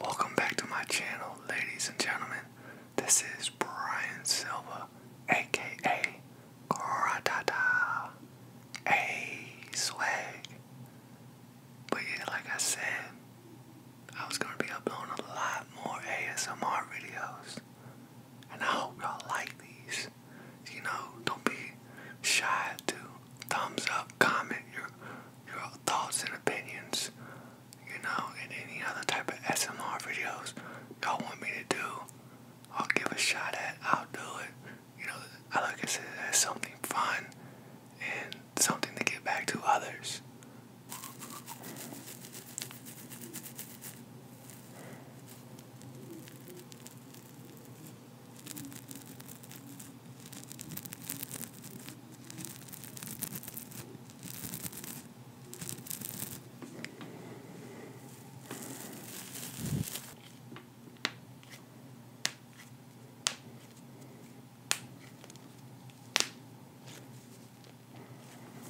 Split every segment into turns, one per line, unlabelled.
Welcome back to my channel, ladies and gentlemen. This is Brian Silva, aka Gratata A Swag. But yeah, like I said, I was gonna be uploading a lot more ASMR videos. And I hope y'all like these. You know, don't be shy to thumbs up, comment your your thoughts and opinions, you know, and any other type of SMR videos y'all want me to do, I'll give a shot at. I'll do it. You know, I like at it as something fun and something to give back to others.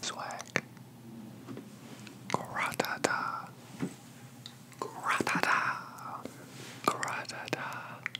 Swag. Gratata. Gratata. Gratata.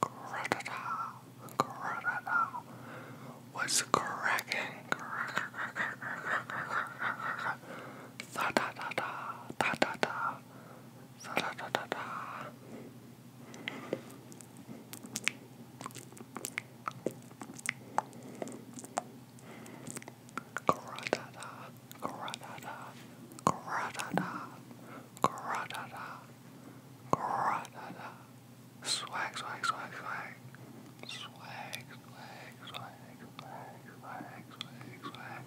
Grotata, Grotata, what's cracking? Da da da da, da da da, da da da da da.
Grotata, Grotata, Grotata. Gradada. Gradada. Swag, swag, swag, swag. Swag, swag, swag, swag, swag, swag, swag.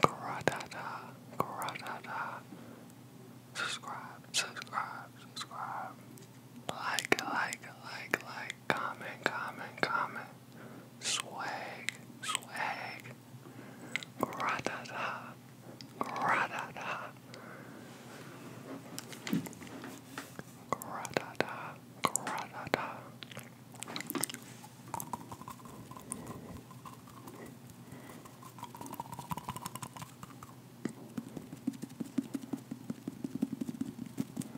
Gradada. Gradada. Subscribe, subscribe, subscribe. Like, like, like, like. Comment, comment, comment swag, swag, ra-da-da, da da da da da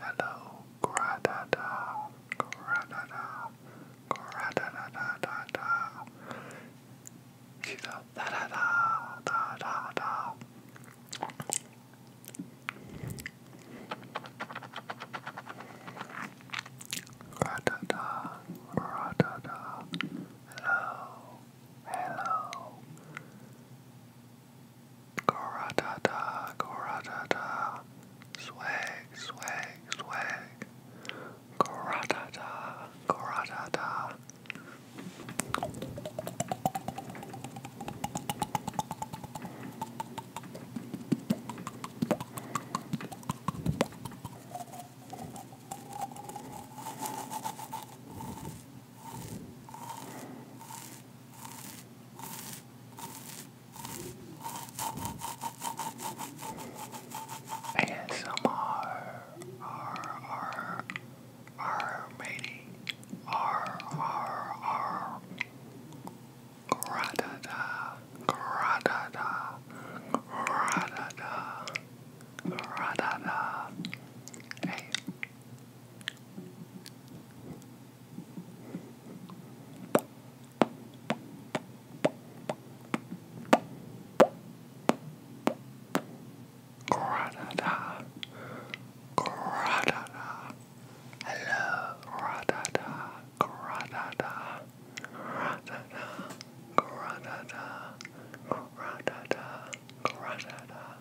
Hello, gradada, gradada, gradada, da da. She's a da da da da da da. Gradada, gradada. Hello, hello. Cora Cora da da, Goratata, goratata, swag, swag, swag. da da. ASMR R R R matey R R R Gratata Gratata Gratata Gratata A Granada, Granada, hello, Granada, Granada, Granada, Granada, Granada, Granada,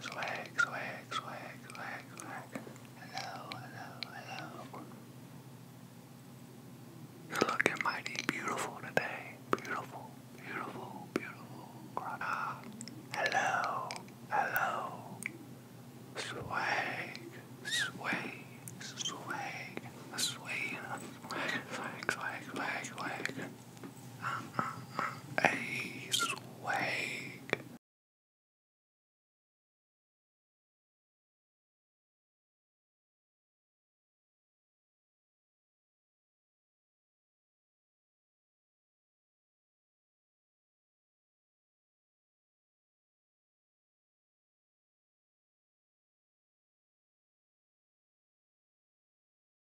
Swag, swag, swag, swag, swag. Hello, hello, hello. You're looking mighty beautiful today. Beautiful, beautiful, beautiful. Ah, hello, hello. Swag, sway, swag, sway, swag, swag, swag, swag
um, a swag.